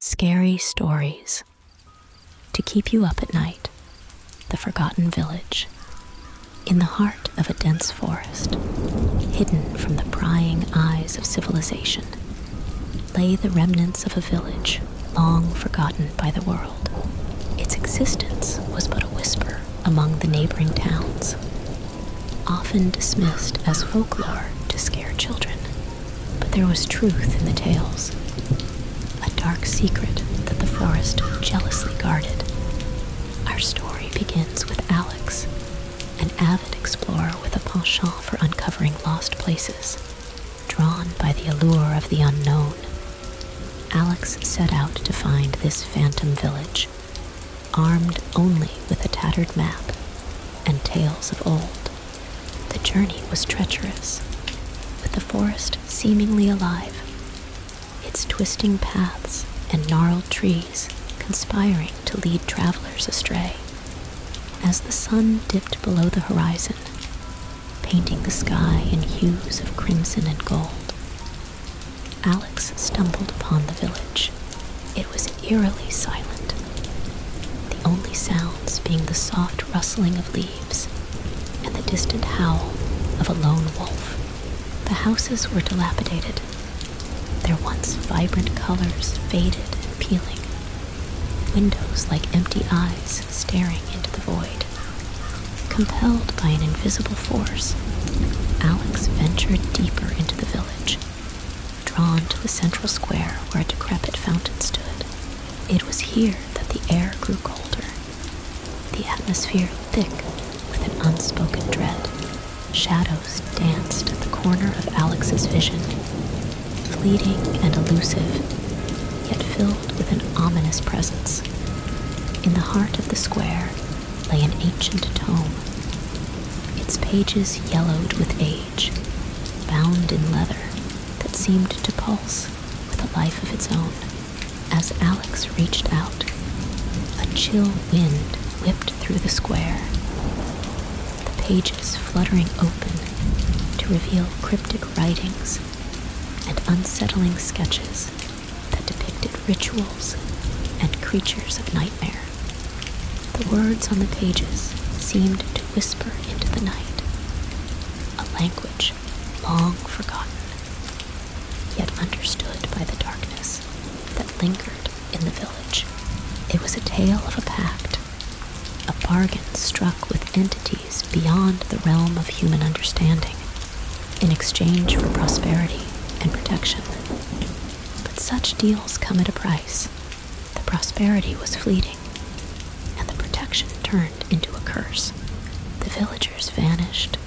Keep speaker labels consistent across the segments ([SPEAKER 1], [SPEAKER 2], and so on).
[SPEAKER 1] Scary stories to keep you up at night. The Forgotten Village, in the heart of a dense forest, hidden from the prying eyes of civilization, lay the remnants of a village long forgotten by the world. Its existence was but a whisper among the neighboring towns, often dismissed as folklore to scare children but there was truth in the tales. A dark secret that the forest jealously guarded. Our story begins with Alex, an avid explorer with a penchant for uncovering lost places, drawn by the allure of the unknown. Alex set out to find this phantom village, armed only with a tattered map and tales of old. The journey was treacherous, with the forest seemingly alive, its twisting paths and gnarled trees conspiring to lead travelers astray. As the sun dipped below the horizon, painting the sky in hues of crimson and gold, Alex stumbled upon the village. It was eerily silent, the only sounds being the soft rustling of leaves and the distant howl of a lone wolf. The houses were dilapidated, their once vibrant colors faded and peeling, windows like empty eyes staring into the void. Compelled by an invisible force, Alex ventured deeper into the village, drawn to the central square where a decrepit fountain stood. It was here that the air grew colder, the atmosphere thick with an unspoken dread. Shadows danced at the corner of Alex's vision, fleeting and elusive, yet filled with an ominous presence. In the heart of the square lay an ancient tome, its pages yellowed with age, bound in leather that seemed to pulse with a life of its own. As Alex reached out, a chill wind whipped through the square, the pages fluttering open to reveal cryptic writings and unsettling sketches that depicted rituals and creatures of nightmare. The words on the pages seemed to whisper into the night a language long forgotten, yet understood by the darkness that lingered in the village. It was a tale of a pact, a bargain struck with entities beyond the realm of human understanding in exchange for prosperity and protection. But such deals come at a price, the prosperity was fleeting, and the protection turned into a curse. The villagers vanished,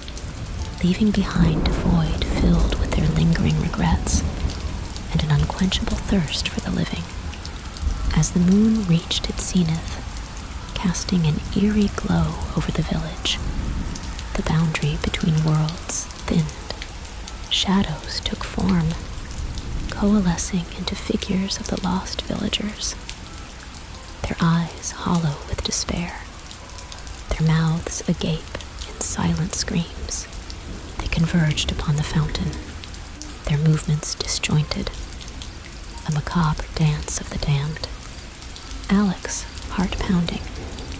[SPEAKER 1] leaving behind a void filled with their lingering regrets and an unquenchable thirst for the living. As the moon reached its zenith, casting an eerie glow over the village, the boundary between worlds thinned. Shadows took form, coalescing into figures of the lost villagers, their eyes hollow with despair, their mouths agape in silent screams. They converged upon the fountain, their movements disjointed, a macabre dance of the damned. Alex, heart pounding,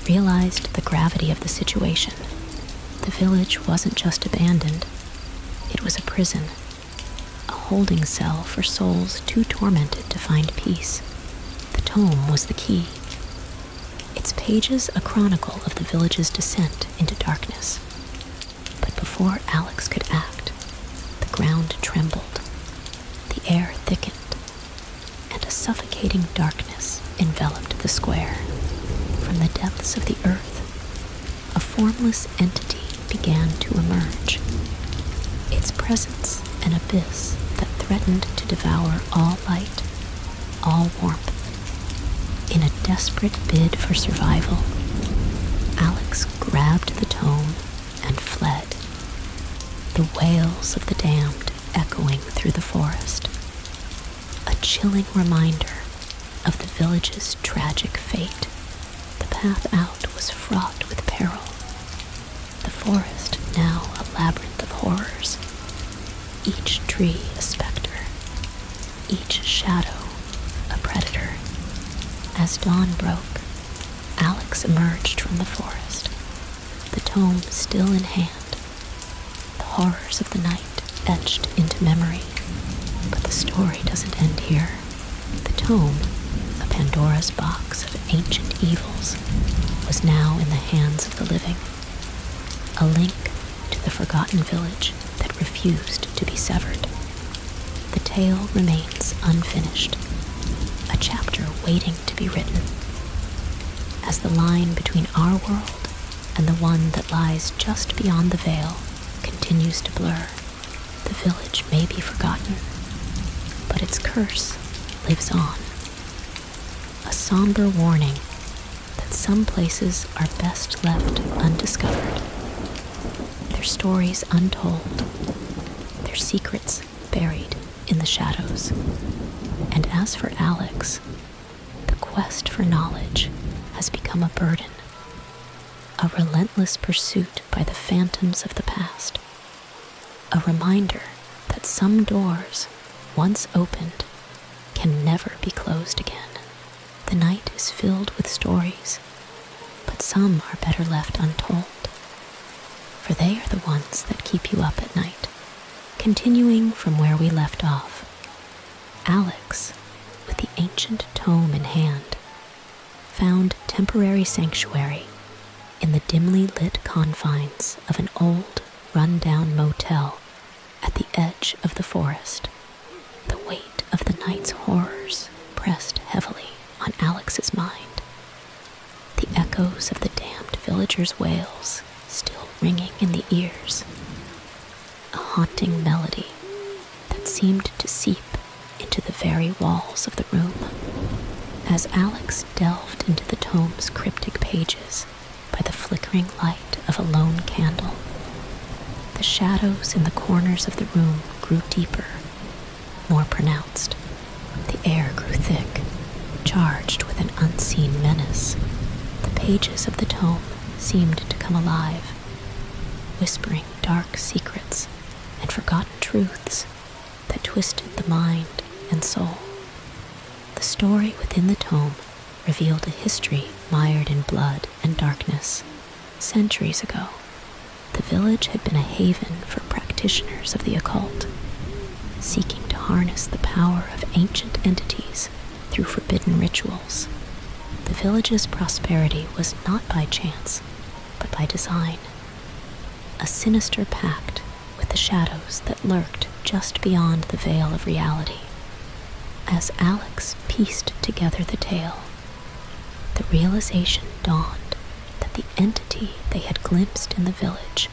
[SPEAKER 1] realized the gravity of the situation. The village wasn't just abandoned, it was a prison a holding cell for souls too tormented to find peace. The tome was the key. Its pages a chronicle of the village's descent into darkness. But before Alex could act, the ground trembled, the air thickened, and a suffocating darkness enveloped the square. From the depths of the earth, a formless entity began to emerge. Its presence, an abyss that threatened to devour all light, all warmth. In a desperate bid for survival, Alex grabbed the tome and fled, the wails of the damned echoing through the forest. A chilling reminder of the village's tragic fate. The path out was fraught with peril. The forest now a labyrinth of horrors. Each tree a specter, each shadow a predator. As dawn broke, Alex emerged from the forest, the tome still in hand. The horrors of the night etched into memory. But the story doesn't end here. The tome, the Pandora's box of ancient evils, was now in the hands of the living. A link to the forgotten village that refused to be severed. The tale remains unfinished, a chapter waiting to be written. As the line between our world and the one that lies just beyond the veil continues to blur, the village may be forgotten, but its curse lives on. A somber warning that some places are best left undiscovered, their stories untold, their secrets buried in the shadows. And as for Alex, the quest for knowledge has become a burden, a relentless pursuit by the phantoms of the past, a reminder that some doors, once opened, can never be closed again. The night is filled with stories, but some are better left untold, for they are the ones that keep you up at night. Continuing from where we left off, Alex, with the ancient tome in hand, found temporary sanctuary in the dimly lit confines of an old, run-down motel at the edge of the forest. The weight of the night's horrors pressed heavily on Alex's mind. The echoes of the damned villagers' wails still ringing in the ears a haunting melody that seemed to seep into the very walls of the room. As Alex delved into the tome's cryptic pages by the flickering light of a lone candle, the shadows in the corners of the room grew deeper, more pronounced. The air grew thick, charged with an unseen menace. The pages of the tome seemed to come alive, whispering dark secrets and forgotten truths that twisted the mind and soul. The story within the tome revealed a history mired in blood and darkness. Centuries ago, the village had been a haven for practitioners of the occult, seeking to harness the power of ancient entities through forbidden rituals the village's prosperity was not by chance, but by design. A sinister pact with the shadows that lurked just beyond the veil of reality. As Alex pieced together the tale, the realization dawned that the entity they had glimpsed in the village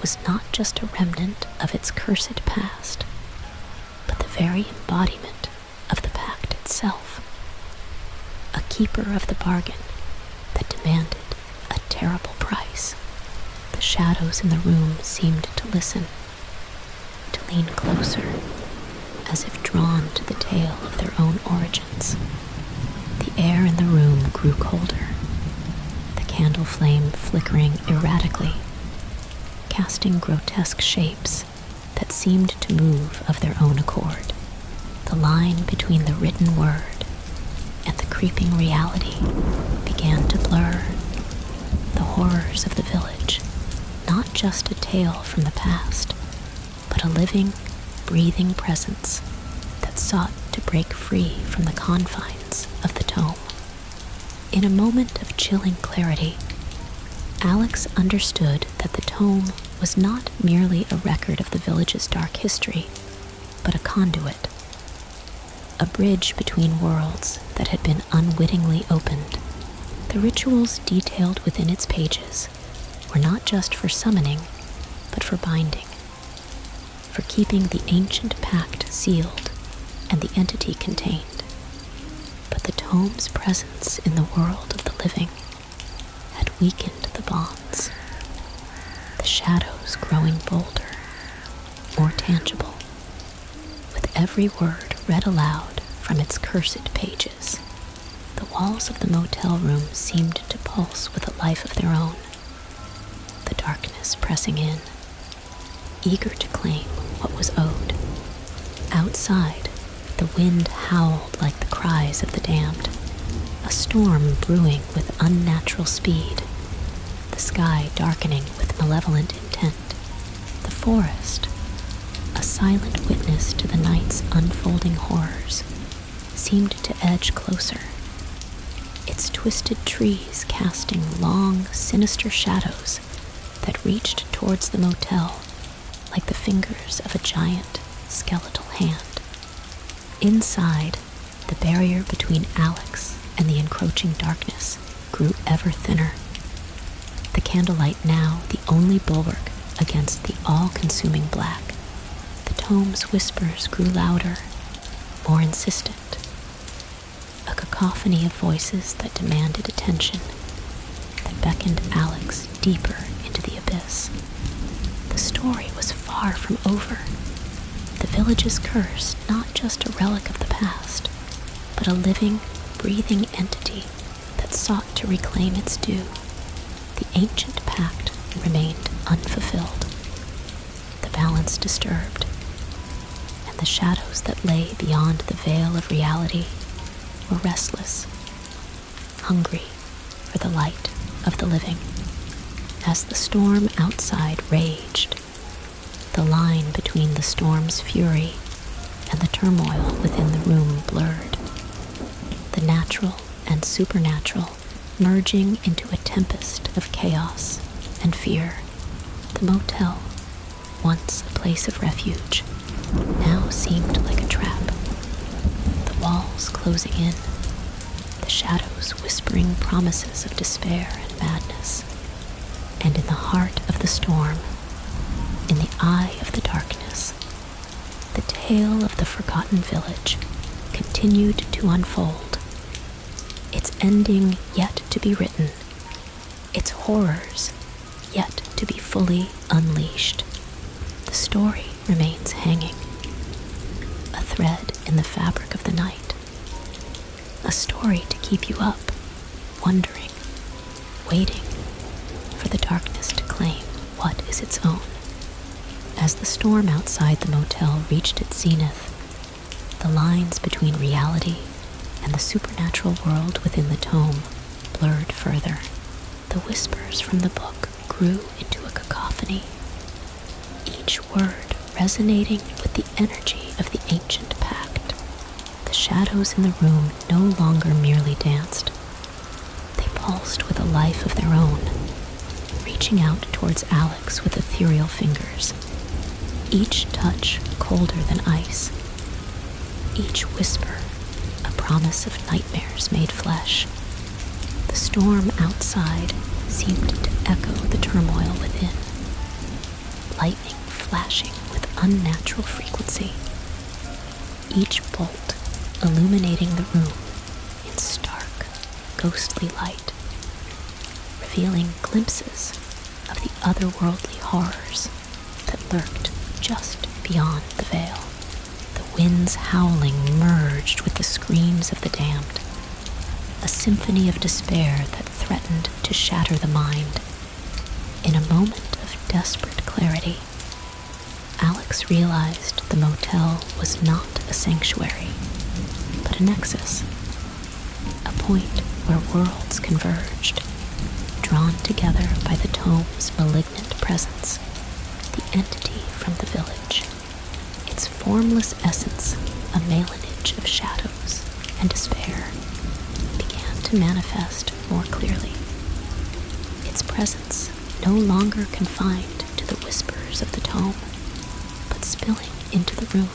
[SPEAKER 1] was not just a remnant of its cursed past, but the very embodiment of the pact itself, a keeper of the bargain that demanded a terrible price. The shadows in the room seemed to listen, to lean closer, as if drawn to the tale of their own origins. The air in the room grew colder, the candle flame flickering erratically, casting grotesque shapes that seemed to move of their own accord, the line between the written word and the creeping reality began to blur. The horrors of the village, not just a tale from the past, but a living, breathing presence that sought to break free from the confines of the tome. In a moment of chilling clarity, Alex understood that the tome was not merely a record of the village's dark history, but a conduit, a bridge between worlds that had been unwittingly opened. The rituals detailed within its pages were not just for summoning, but for binding, for keeping the ancient pact sealed and the entity contained but the tome's presence in the world of the living had weakened the bonds, the shadows growing bolder, more tangible, with every word read aloud from its cursed pages. The walls of the motel room seemed to pulse with a life of their own, the darkness pressing in, eager to claim what was owed. Outside, the wind howled like the cries of the damned, a storm brewing with unnatural speed, the sky darkening with malevolent intent, the forest, a silent witness to the night's unfolding horrors, seemed to edge closer, its twisted trees casting long, sinister shadows that reached towards the motel like the fingers of a giant skeletal hand. Inside, the barrier between Alex and the encroaching darkness grew ever thinner. The candlelight now the only bulwark against the all consuming black. The tome's whispers grew louder, more insistent. A cacophony of voices that demanded attention, that beckoned Alex deeper into the abyss. The story was far from over. The village's curse, not just a relic of the past, but a living, breathing entity that sought to reclaim its due. The ancient pact remained unfulfilled, the balance disturbed, and the shadows that lay beyond the veil of reality were restless hungry for the light of the living. As the storm outside raged, the line between the storm's fury and the turmoil within the room blurred. The natural and supernatural merging into a tempest of chaos and fear. The motel, once a place of refuge, now seemed like a trap, the walls closing in, the shadows whispering promises of despair and madness. And in the heart of the storm, in the eye of the darkness, the tale of the forgotten village continued to unfold, its ending yet to be written, its horrors yet to be fully unleashed. The story remains hanging, a thread in the fabric of the night, a story to keep you up, wondering, waiting for the darkness to claim what is its own. As the storm outside the motel reached its zenith, the lines between reality and the supernatural world within the tome blurred further. The whispers from the book grew into a cacophony, each word resonating with the energy of the ancient pact. The shadows in the room no longer merely danced, they pulsed with a life of their own, reaching out towards Alex with ethereal fingers, each touch colder than ice, each whisper, a promise of nightmares made flesh. The storm outside seemed to echo the turmoil within. Lightning flashing with unnatural frequency. Each bolt illuminating the room in stark, ghostly light, revealing glimpses of the otherworldly horrors that lurked just beyond the veil. The wind's howling merged with the screams of the damned, a symphony of despair that threatened to shatter the mind. In a moment of desperate clarity, Alex realized the motel was not a sanctuary, but a nexus, a point where worlds converged, drawn together by the tome's malignant malignant presence, the entity from the village, its formless essence, a melanage of shadows and despair, began to manifest more clearly. Its presence, no longer confined to the whispers of the tome, but spilling into the room,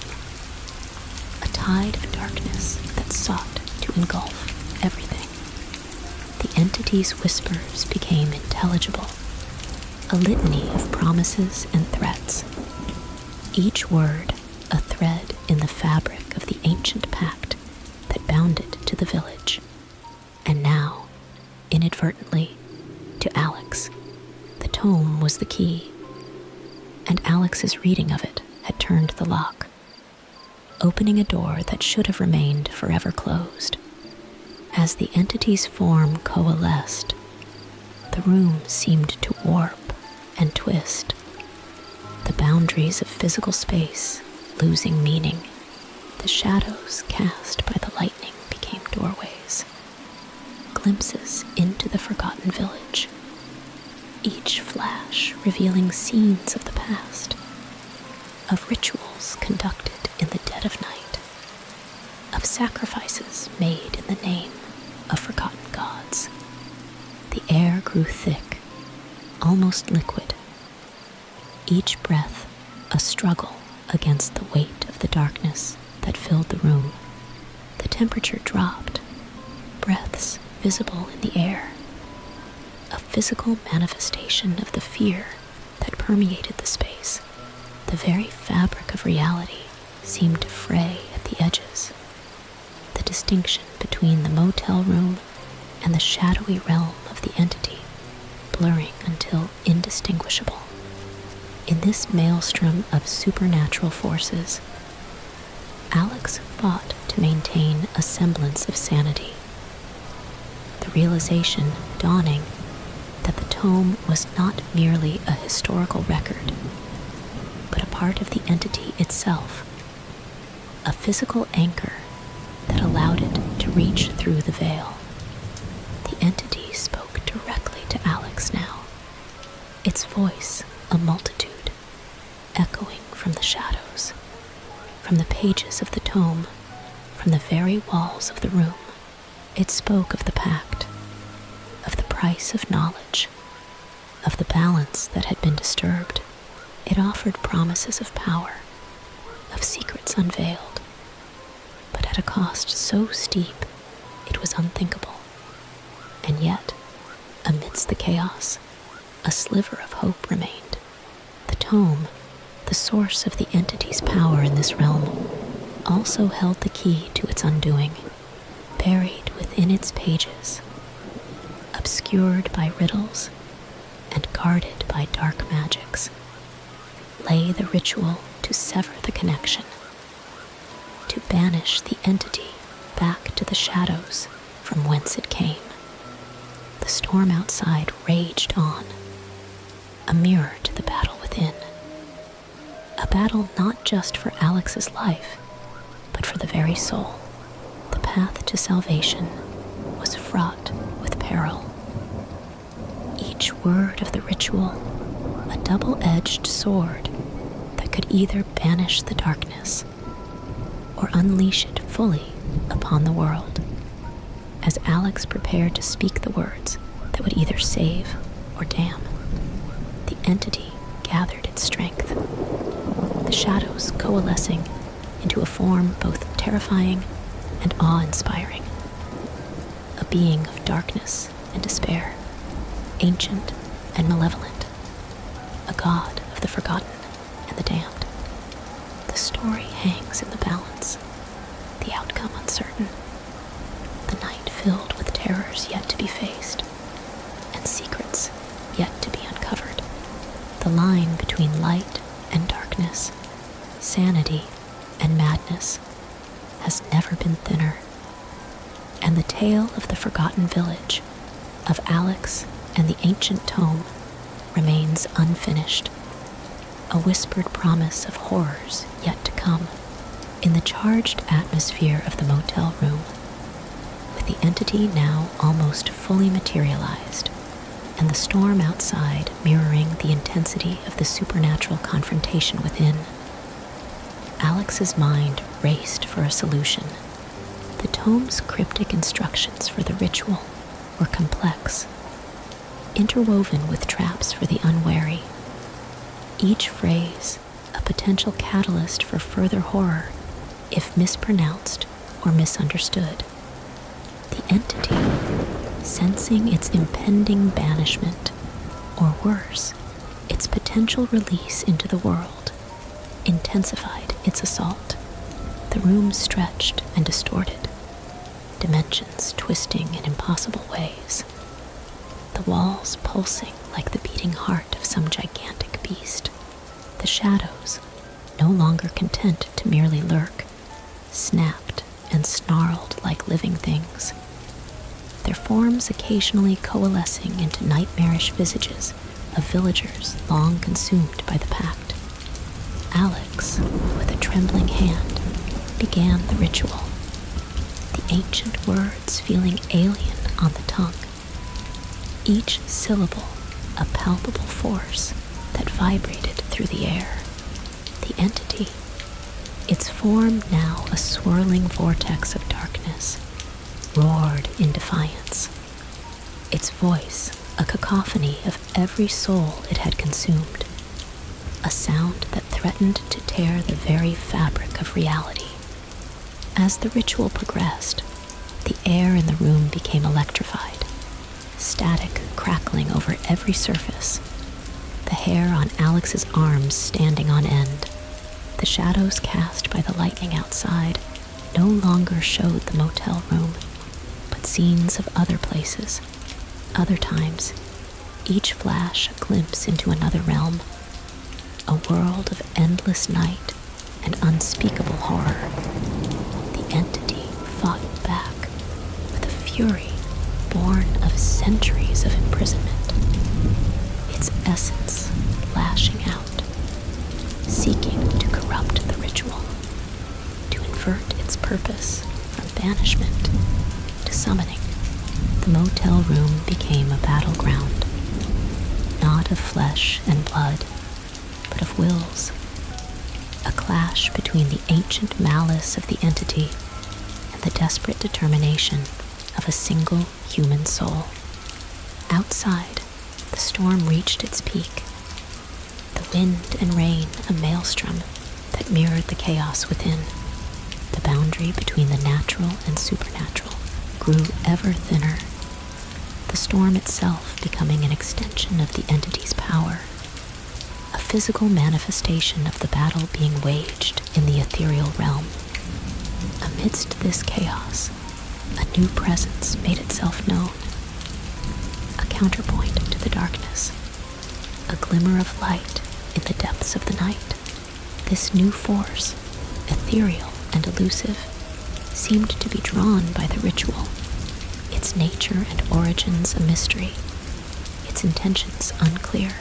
[SPEAKER 1] a tide of darkness that sought to engulf everything the entity's whispers became intelligible, a litany of promises and threats. Each word a thread in the fabric of the ancient pact that bound it to the village. And now, inadvertently, to Alex, the tome was the key. And Alex's reading of it had turned the lock, opening a door that should have remained forever closed. As the entity's form coalesced, the room seemed to warp and twist, the boundaries of physical space losing meaning. The shadows cast by the lightning became doorways, glimpses into the forgotten village, each flash revealing scenes of the past of rituals conducted in the dead of night, of sacrifices made in the name of forgotten gods. The air grew thick, almost liquid, each breath a struggle against the weight of the darkness that filled the room. The temperature dropped, breaths visible in the air physical manifestation of the fear that permeated the space. The very fabric of reality seemed to fray at the edges. The distinction between the motel room and the shadowy realm of the entity blurring until indistinguishable. In this maelstrom of supernatural forces, Alex fought to maintain a semblance of sanity the realization dawning that the tome was not merely a historical record, but a part of the entity itself, a physical anchor that allowed it to reach through the veil. The entity spoke directly to Alex now, its voice a multitude, echoing from the shadows. From the pages of the tome, from the very walls of the room, it spoke of the pact, of the price of knowledge, of the balance that had been disturbed. It offered promises of power, of secrets unveiled, but at a cost so steep it was unthinkable. And yet, amidst the chaos, a sliver of hope remained. The tome, the source of the entity's power in this realm, also held the key to its undoing, buried within its pages, obscured by riddles and guarded by dark magics. Lay the ritual to sever the connection, to banish the entity back to the shadows from whence it came. The storm outside raged on, a mirror to the battle within. A battle not just for Alex's life, but for the very soul. The path to salvation was fraught with peril. Each word of the ritual, a double edged sword that could either banish the darkness or unleash it fully upon the world as Alex prepared to speak the words that would either save or damn. The entity gathered its strength, the shadows coalescing into a form both terrifying and awe inspiring. A being of darkness and despair, ancient and malevolent, a god of the forgotten and the damned. The story hangs in the balance, the outcome uncertain, the night filled with terrors yet to be faced, and secrets yet to be uncovered. The line between light and darkness, sanity and madness, has never been thinner. And the tale of the forgotten village, of Alex and the ancient tome, remains unfinished, a whispered promise of horrors yet to come. In the charged atmosphere of the motel room, with the entity now almost fully materialized, and the storm outside mirroring the intensity of the supernatural confrontation within, Alex's mind raced for a solution. The tome's cryptic instructions for the ritual were complex, interwoven with traps for the unwary. Each phrase a potential catalyst for further horror if mispronounced or misunderstood. The entity, sensing its impending banishment, or worse, its potential release into the world, intensified its assault. The room stretched and distorted, dimensions twisting in impossible ways, the walls pulsing like the beating heart of some gigantic beast, the shadows, no longer content to merely lurk, snapped and snarled like living things, their forms occasionally coalescing into nightmarish visages of villagers long consumed by the pact. Alex, with a trembling hand, began the ritual, the ancient words feeling alien on the tongue, each syllable a palpable force that vibrated through the air. The entity, its form now a swirling vortex of darkness, roared in defiance, its voice a cacophony of every soul it had consumed, a sound that threatened to tear the very fabric of reality. As the ritual progressed, the air in the room became electrified, static crackling over every surface, the hair on Alex's arms standing on end. The shadows cast by the lightning outside no longer showed the motel room, but scenes of other places other times, each flash a glimpse into another realm, a world of endless night and unspeakable horror. The entity fought back with a fury born of centuries of imprisonment, its essence lashing out, seeking to corrupt the ritual, to invert its purpose from banishment to summoning. The motel room became a battleground, not of flesh and blood, but of wills. A clash between the ancient malice of the entity and the desperate determination of a single human soul. Outside, the storm reached its peak, the wind and rain a maelstrom that mirrored the chaos within. The boundary between the natural and supernatural grew ever thinner, the storm itself becoming an extension of the entity's power, a physical manifestation of the battle being waged in the ethereal realm. Amidst this chaos, a new presence made itself known, a counterpoint to the darkness. A glimmer of light in the depths of the night. This new force, ethereal and elusive, seemed to be drawn by the ritual, its nature and origins a mystery, its intentions unclear.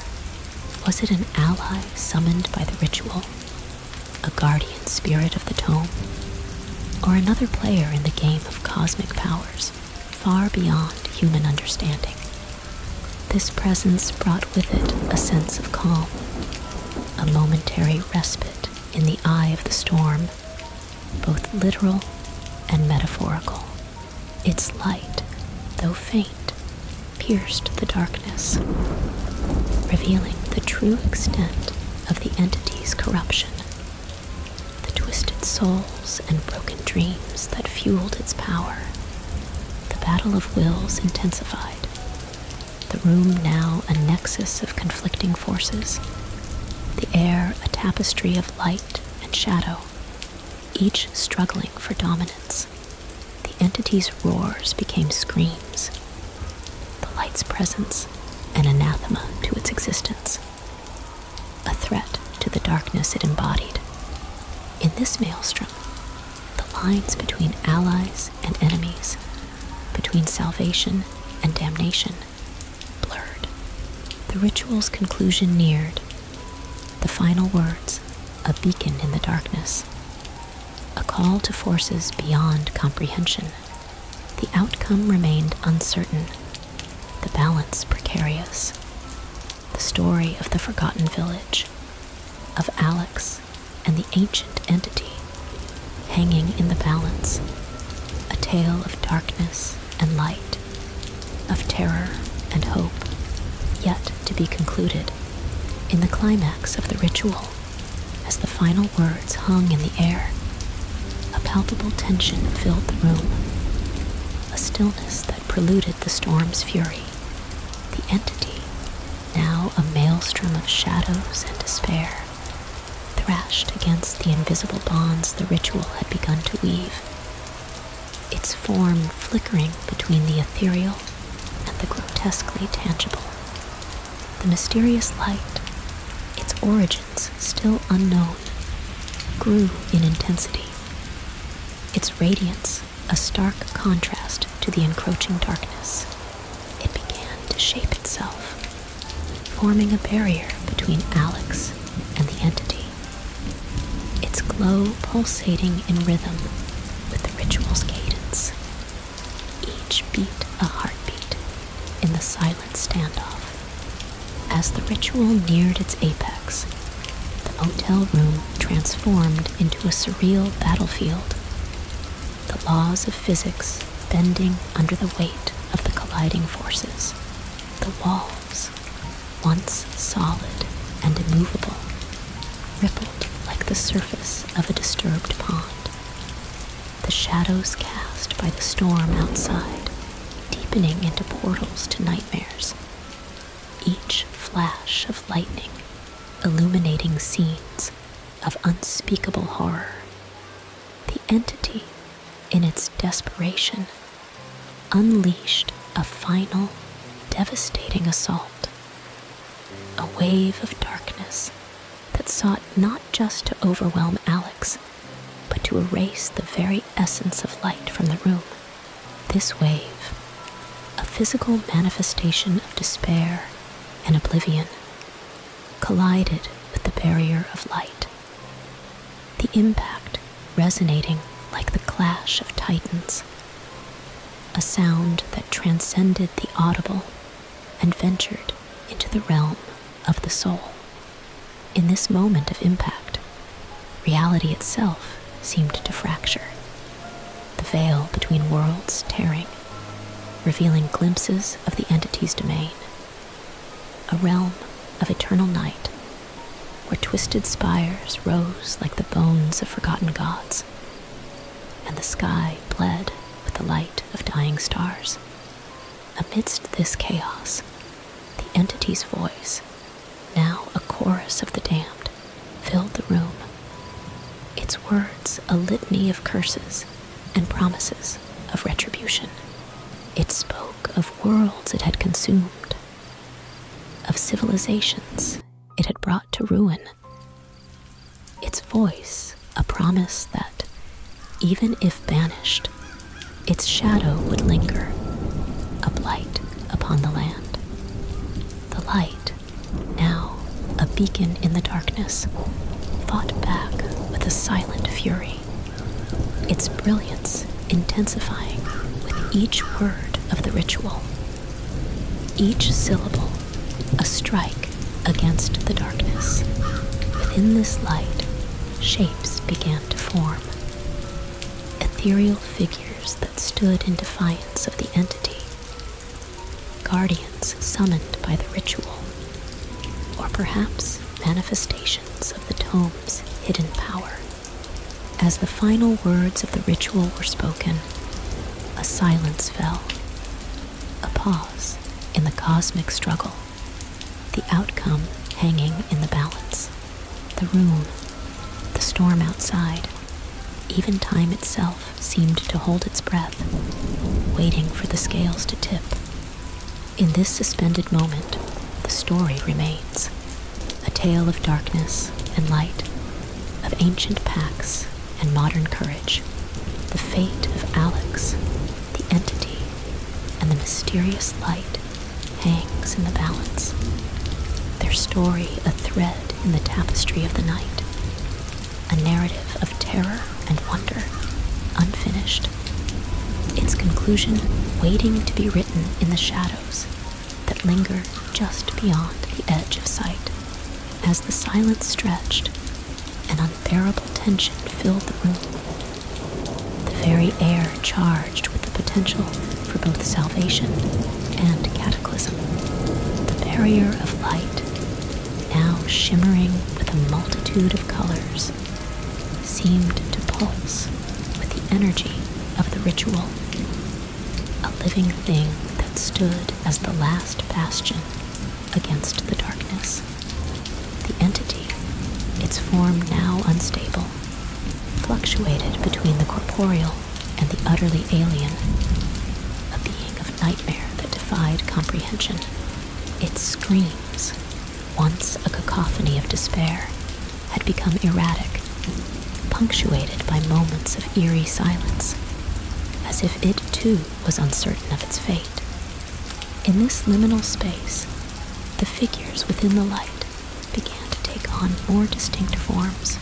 [SPEAKER 1] Was it an ally summoned by the ritual, a guardian spirit of the tome, or another player in the game of cosmic powers? far beyond human understanding. This presence brought with it a sense of calm, a momentary respite in the eye of the storm, both literal and metaphorical. Its light, though faint, pierced the darkness, revealing the true extent of the entity's corruption the twisted souls and broken dreams that fueled its power. The battle of wills intensified, the room now a nexus of conflicting forces, the air a tapestry of light and shadow, each struggling for dominance. The entity's roars became screams, the light's presence an anathema to its existence a threat to the darkness it embodied. In this maelstrom, the lines between allies and enemies, between salvation and damnation, blurred. The ritual's conclusion neared. The final words, a beacon in the darkness, a call to forces beyond comprehension. The outcome remained uncertain the balance precarious, the story of the forgotten village, of Alex and the ancient entity hanging in the balance, a tale of darkness and light, of terror and hope, yet to be concluded in the climax of the ritual as the final words hung in the air a palpable tension filled the room, a stillness that preluded the storm's fury. The entity, now a maelstrom of shadows and despair, thrashed against the invisible bonds the ritual had begun to weave, its form flickering between the ethereal and the grotesquely tangible. The mysterious light, its origin still unknown, grew in intensity. Its radiance a stark contrast to the encroaching darkness. It began to shape itself, forming a barrier between Alex and the entity. Its glow pulsating in rhythm with the ritual's cadence. Each beat a heartbeat in the silent standoff. As the ritual neared its apex, the motel room transformed into a surreal battlefield, the laws of physics bending under the weight of the colliding forces. The walls, once solid and immovable, rippled like the surface of a disturbed pond. The shadows cast by the storm outside deepening into portals to nightmares. Each flash of lightning illuminating scenes of unspeakable horror. The entity, in its desperation, unleashed a final, devastating assault. A wave of darkness that sought not just to overwhelm Alex but to erase the very essence of light from the room. This wave, a physical manifestation of despair and oblivion, collided with the barrier of light. The impact resonating like the clash of titans, a sound that transcended the audible and ventured into the realm of the soul. In this moment of impact, reality itself seemed to fracture, the veil between worlds tearing, revealing glimpses of the entity's domain, a realm of eternal night where twisted spires rose like the bones of forgotten gods, and the sky bled with the light of dying stars. Amidst this chaos, the entity's voice, now a chorus of the damned, filled the room, its words a litany of curses and promises of retribution. It spoke of worlds it had consumed, of civilizations it had brought to ruin. Its voice, a promise that, even if banished, its shadow would linger, a blight upon the land. The light, now a beacon in the darkness, fought back with a silent fury, its brilliance intensifying with each word of the ritual. Each syllable, a strike against the darkness. Within this light, shapes began to form ethereal figures that stood in defiance of the entity, guardians summoned by the ritual, or perhaps manifestations of the tome's hidden power. As the final words of the ritual were spoken, a silence fell, a pause in the cosmic struggle, the outcome hanging in the balance. The room, the storm outside, even time itself seemed to hold its breath, waiting for the scales to tip. In this suspended moment, the story remains a tale of darkness and light, of ancient pacts and modern courage, the fate of Alex, the entity, and the mysterious light hangs in the balance, their story a thread in the tapestry of the night, a narrative of terror and wonder, unfinished, its conclusion waiting to be written in the shadows that linger just beyond the edge of sight. As the silence stretched, an unbearable tension filled the room the very air charged with the potential for both salvation and cataclysm. The barrier of light, now shimmering with a multitude of colors, seemed to pulse with the energy of the ritual, a living thing that stood as the last bastion against the darkness. The entity, its form now unstable, fluctuated between the corporeal and the utterly alien, a being of nightmare that defied comprehension. Its screams, once a cacophony of despair, had become erratic, punctuated by moments of eerie silence, as if it too was uncertain of its fate. In this liminal space, the figures within the light began to take on more distinct forms,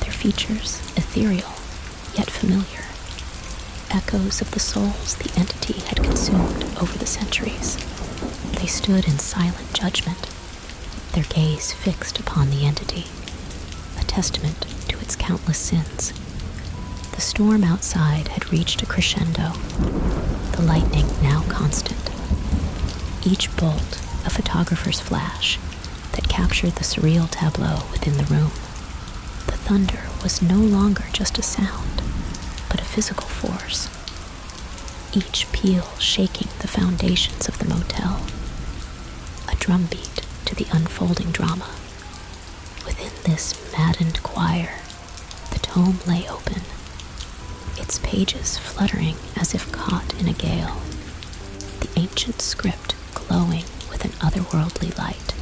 [SPEAKER 1] their features ethereal yet familiar, echoes of the souls the entity had consumed over the centuries. They stood in silent judgment, their gaze fixed upon the entity, a testament to its countless sins. The storm outside had reached a crescendo, the lightning now constant each bolt a photographer's flash that captured the surreal tableau within the room. The thunder was no longer just a sound, but a physical force, each peal shaking the foundations of the motel, a drumbeat to the unfolding drama. Within this maddened choir, the tome lay open, its pages fluttering as if caught in a gale, the ancient script glowing with an otherworldly light.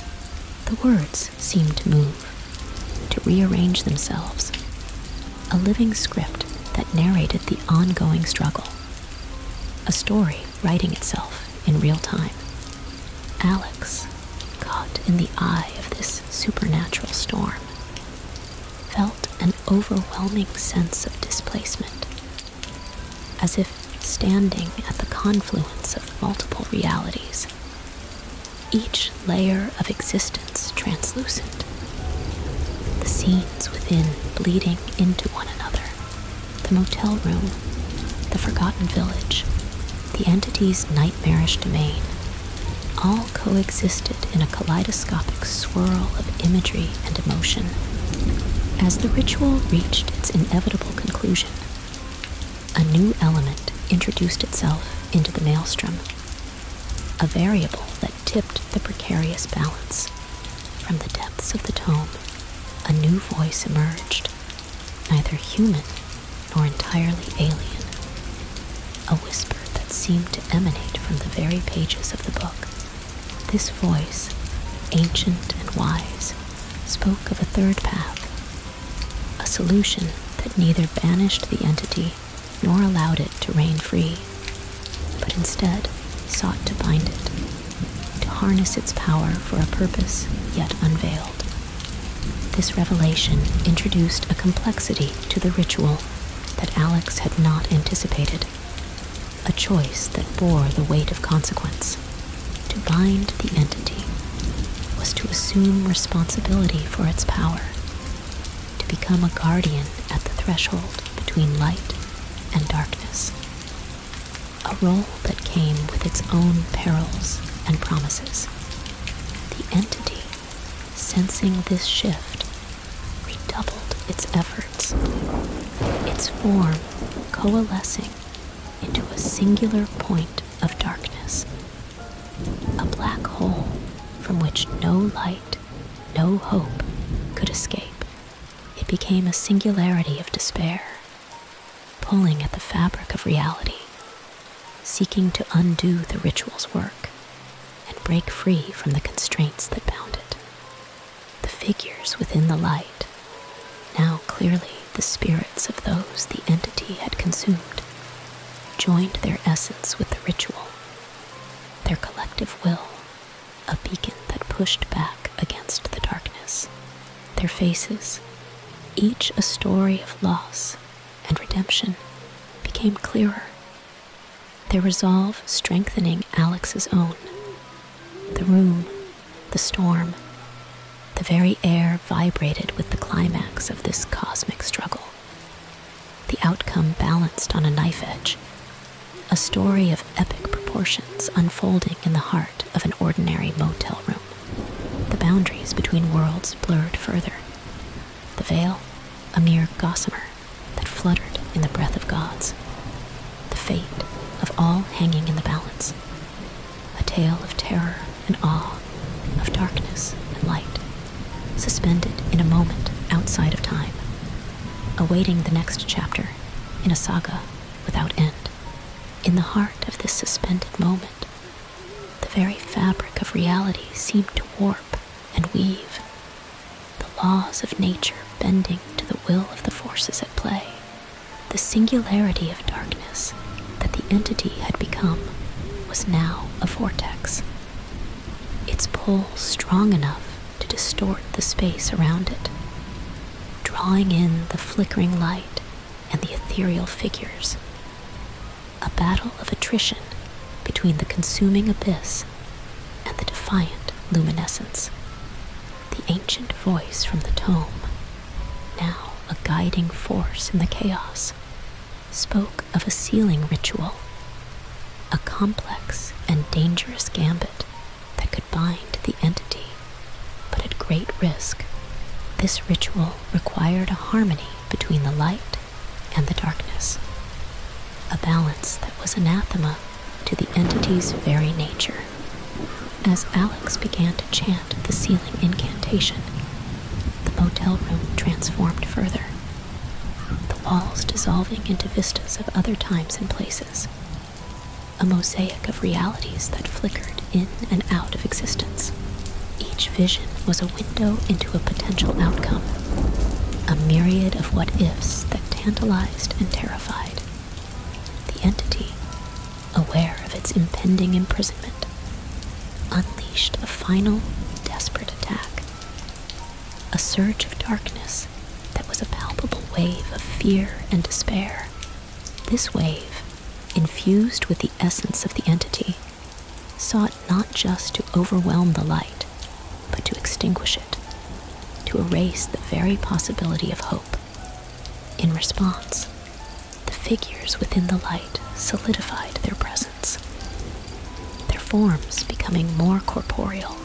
[SPEAKER 1] The words seemed to move, to rearrange themselves, a living script that narrated the ongoing struggle, a story writing itself in real time. Alex, caught in the eye of this supernatural storm, felt an overwhelming sense of displacement, as if standing at the confluence of multiple realities, each layer of existence translucent, the scenes within bleeding into one another, the motel room, the forgotten village, the entity's nightmarish domain, all coexisted in a kaleidoscopic swirl of imagery and emotion. As the ritual reached its inevitable conclusion, a new element introduced itself into the maelstrom, a variable that tipped the precarious balance. From the depths of the tome, a new voice emerged, neither human nor entirely alien a whisper that seemed to emanate from the very pages of the book. This voice, ancient and wise, spoke of a third path, a solution that neither banished the entity nor allowed it to reign free, but instead sought to bind it, to harness its power for a purpose yet unveiled. This revelation introduced a complexity to the ritual that Alex had not anticipated, a choice that bore the weight of consequence. To bind the entity was to assume responsibility for its power, to become a guardian at the threshold between light and darkness, a role that came with its own perils and promises. The entity sensing this shift, redoubled its efforts, its form coalescing into a singular point of darkness, a black hole from which no light, no hope could escape. It became a singularity of despair, pulling at the fabric of reality, seeking to undo the ritual's work and break free from the constraints that bound it. The figures within the light, now clearly the spirits of those the entity had consumed, joined their essence with the ritual, their collective will, a beacon that pushed back against the darkness. Their faces, each a story of loss and redemption, became clearer their resolve strengthening Alex's own. The room, the storm, the very air vibrated with the climax of this cosmic struggle. The outcome balanced on a knife edge, a story of epic proportions unfolding in the heart of an ordinary motel room, the boundaries between worlds blurred further the veil a mere gossamer that fluttered in the breath of gods, the fate of all hanging in the balance, a tale of terror and awe, of darkness and light, suspended in a moment outside of time, awaiting the next chapter in a saga without end. In the heart of this suspended moment, the very fabric of reality seemed to warp and weave, the laws of nature bending to the will of the forces at play, the singularity of darkness that the entity had become was now a vortex, its pull strong enough to distort the space around it, drawing in the flickering light and the ethereal figures. A battle of attrition between the consuming abyss and the defiant luminescence. The ancient voice from the tome, now a guiding force in the chaos, spoke of a sealing ritual, a complex and dangerous gambit that could bind the entity, but at great risk. This ritual required a harmony between the light and the darkness, a balance that was anathema to the entity's very nature. As Alex began to chant the sealing incantation, the motel room transformed further, the walls dissolving into vistas of other times and places, a mosaic of realities that flickered in and out of existence. Each vision was a window into a potential outcome a myriad of what ifs that tantalized and terrified. The entity, aware of its impending imprisonment, unleashed a final, desperate attack. A surge of darkness that was a palpable wave of fear and despair. This wave, infused with the essence of the entity, sought not just to overwhelm the light, but to extinguish it, to erase the very possibility of hope. In response, the figures within the light solidified their presence, their forms becoming more corporeal.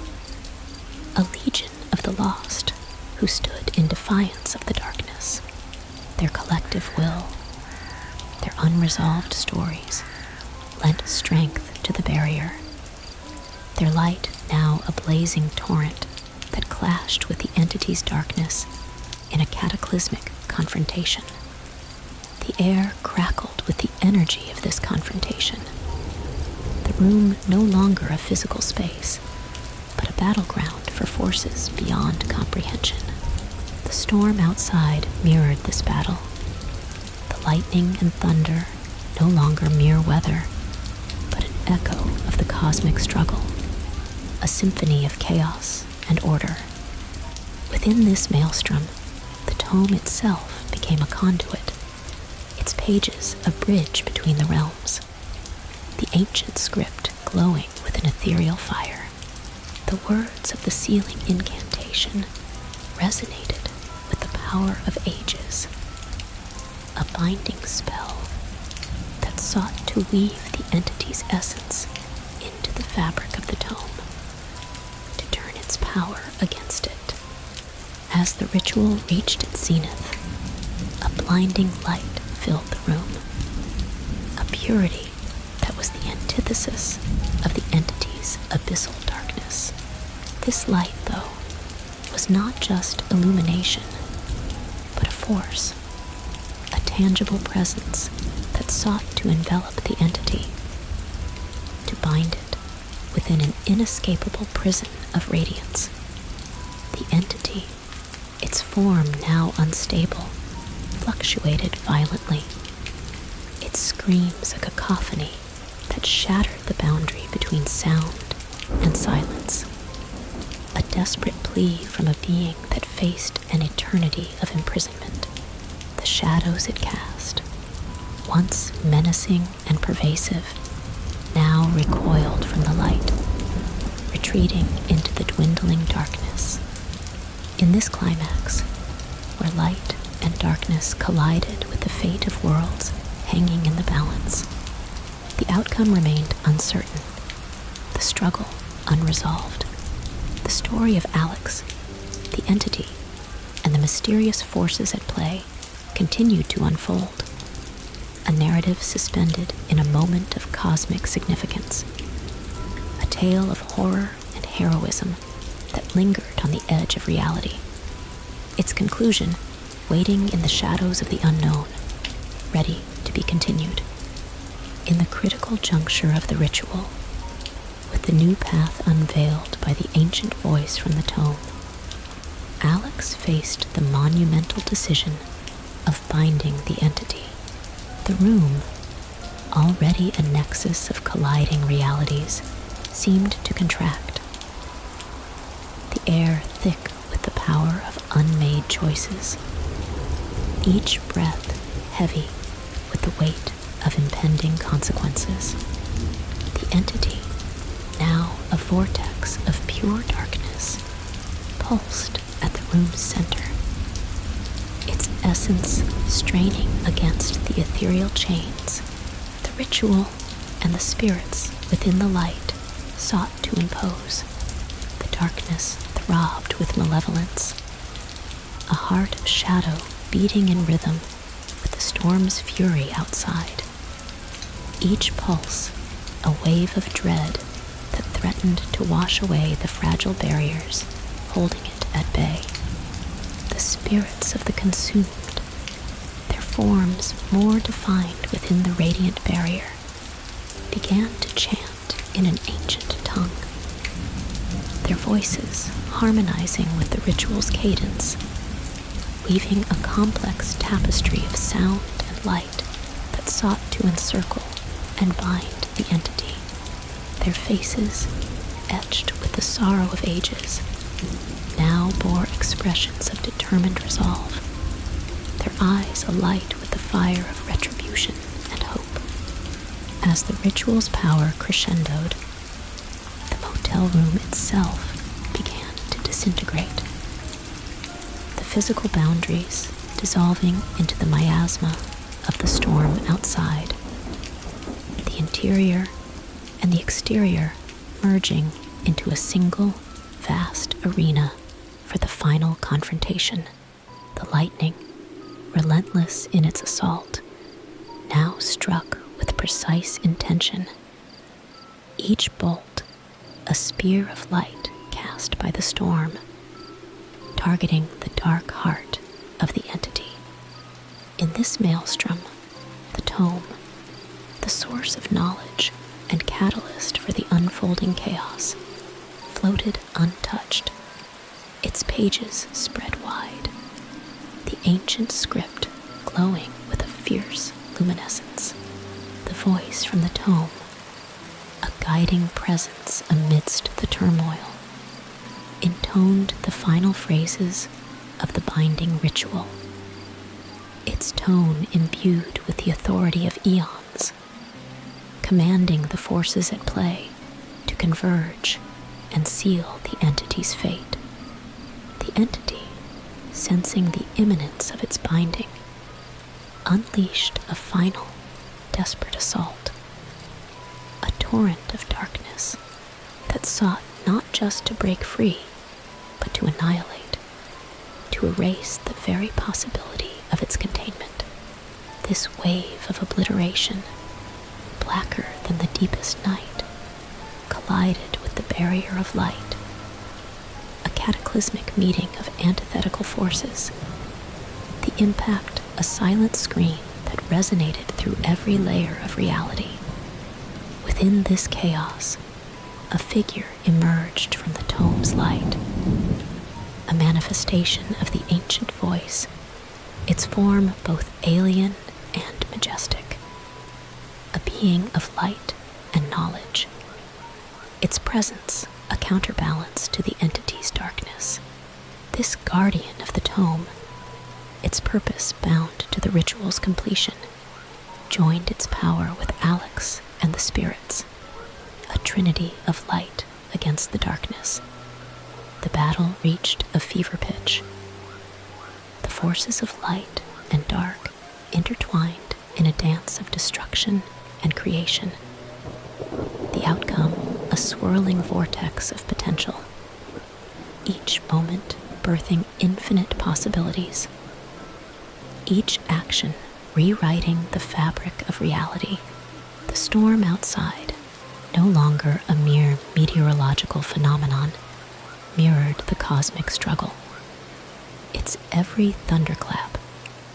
[SPEAKER 1] A legion of the lost who stood in defiance of the darkness, their collective will, their unresolved stories, lent strength to the barrier. Their light now a blazing torrent that clashed with the entity's darkness in a cataclysmic confrontation. The air crackled with the energy of this confrontation. The room no longer a physical space, but a battleground for forces beyond comprehension. The storm outside mirrored this battle the lightning and thunder no longer mere weather, but an echo of the cosmic struggle, a symphony of chaos and order. Within this maelstrom, the tome itself became a conduit, its pages a bridge between the realms, the ancient script glowing with an ethereal fire. The words of the sealing incantation resonated with the power of ages, a binding spell that sought to weave the entity's essence into the fabric of the tome, to turn its power against it. As the ritual reached its zenith, a blinding light filled the room, a purity that was the antithesis of the entity's abyssal darkness. This light, though, was not just illumination, but a force, a tangible presence that sought to envelop the entity, to bind it within an inescapable prison of radiance. The entity, its form now unstable, fluctuated violently. It screams a cacophony that shattered the boundary between sound and silence. A desperate plea from a being that faced an eternity of imprisonment. The shadows it cast, once menacing and pervasive, now recoiled from the light, retreating into the dwindling darkness. In this climax, where light and darkness collided with the fate of worlds hanging in the balance. The outcome remained uncertain, the struggle unresolved. The story of Alex, the entity, and the mysterious forces at play continued to unfold. A narrative suspended in a moment of cosmic significance. A tale of horror and heroism that lingered on the edge of reality. Its conclusion, waiting in the shadows of the unknown, ready to be continued. In the critical juncture of the ritual, with the new path unveiled by the ancient voice from the tome, Alex faced the monumental decision of binding the entity. The room, already a nexus of colliding realities, seemed to contract the air thick with the power of unmade choices, each breath heavy with the weight of impending consequences. The entity, now a vortex of pure darkness, pulsed at the room's center, its essence straining against the ethereal chains, the ritual and the spirits within the light sought to impose. The darkness throbbed with malevolence, a heart of shadow beating in rhythm with the storm's fury outside. Each pulse, a wave of dread that threatened to wash away the fragile barriers holding it at bay. The spirits of the consumed their forms more defined within the radiant barrier, began to chant in an ancient tongue, their voices harmonizing with the ritual's cadence, weaving a complex tapestry of sound and light that sought to encircle and bind the entity, their faces etched with the sorrow of ages, now bore expressions of determined resolve, their eyes alight with the fire of retribution and hope. As the ritual's power crescendoed, the motel room itself began to disintegrate. The physical boundaries dissolving into the miasma of the storm outside. The interior and the exterior merging into a single vast arena for the final confrontation. The lightning, relentless in its assault, now struck with precise intention. Each bolt, a spear of light cast by the storm, targeting the dark heart of the entity. In this maelstrom, the tome, the source of knowledge and catalyst for the unfolding chaos, floated untouched, its pages spread wide, the ancient script glowing with a fierce luminescence, the voice from the tome, a guiding presence amidst the turmoil, intoned the final phrases of the binding ritual, its tone imbued with the authority of eons, commanding the forces at play to converge and seal the entity's fate. The entity, sensing the imminence of its binding, unleashed a final, desperate assault, a torrent of darkness that sought not just to break free but to annihilate, to erase the very possibility of its containment. This wave of obliteration, blacker than the deepest night, collided with the barrier of light. A cataclysmic meeting of antithetical forces. The impact, a silent scream that resonated through every layer of reality. Within this chaos, a figure emerged from the tome's light, a manifestation of the ancient voice, its form both alien and majestic, a being of light and knowledge, its presence a counterbalance to the entity's darkness. This guardian of the tome, its purpose bound to the ritual's completion, joined its power with Alex and the spirits, a trinity of light against the darkness. The battle reached a fever pitch. The forces of light and dark intertwined in a dance of destruction and creation. The outcome, a swirling vortex of potential, each moment birthing infinite possibilities, each action rewriting the fabric of reality. The storm outside, no longer a mere meteorological phenomenon, mirrored the cosmic struggle. Its every thunderclap,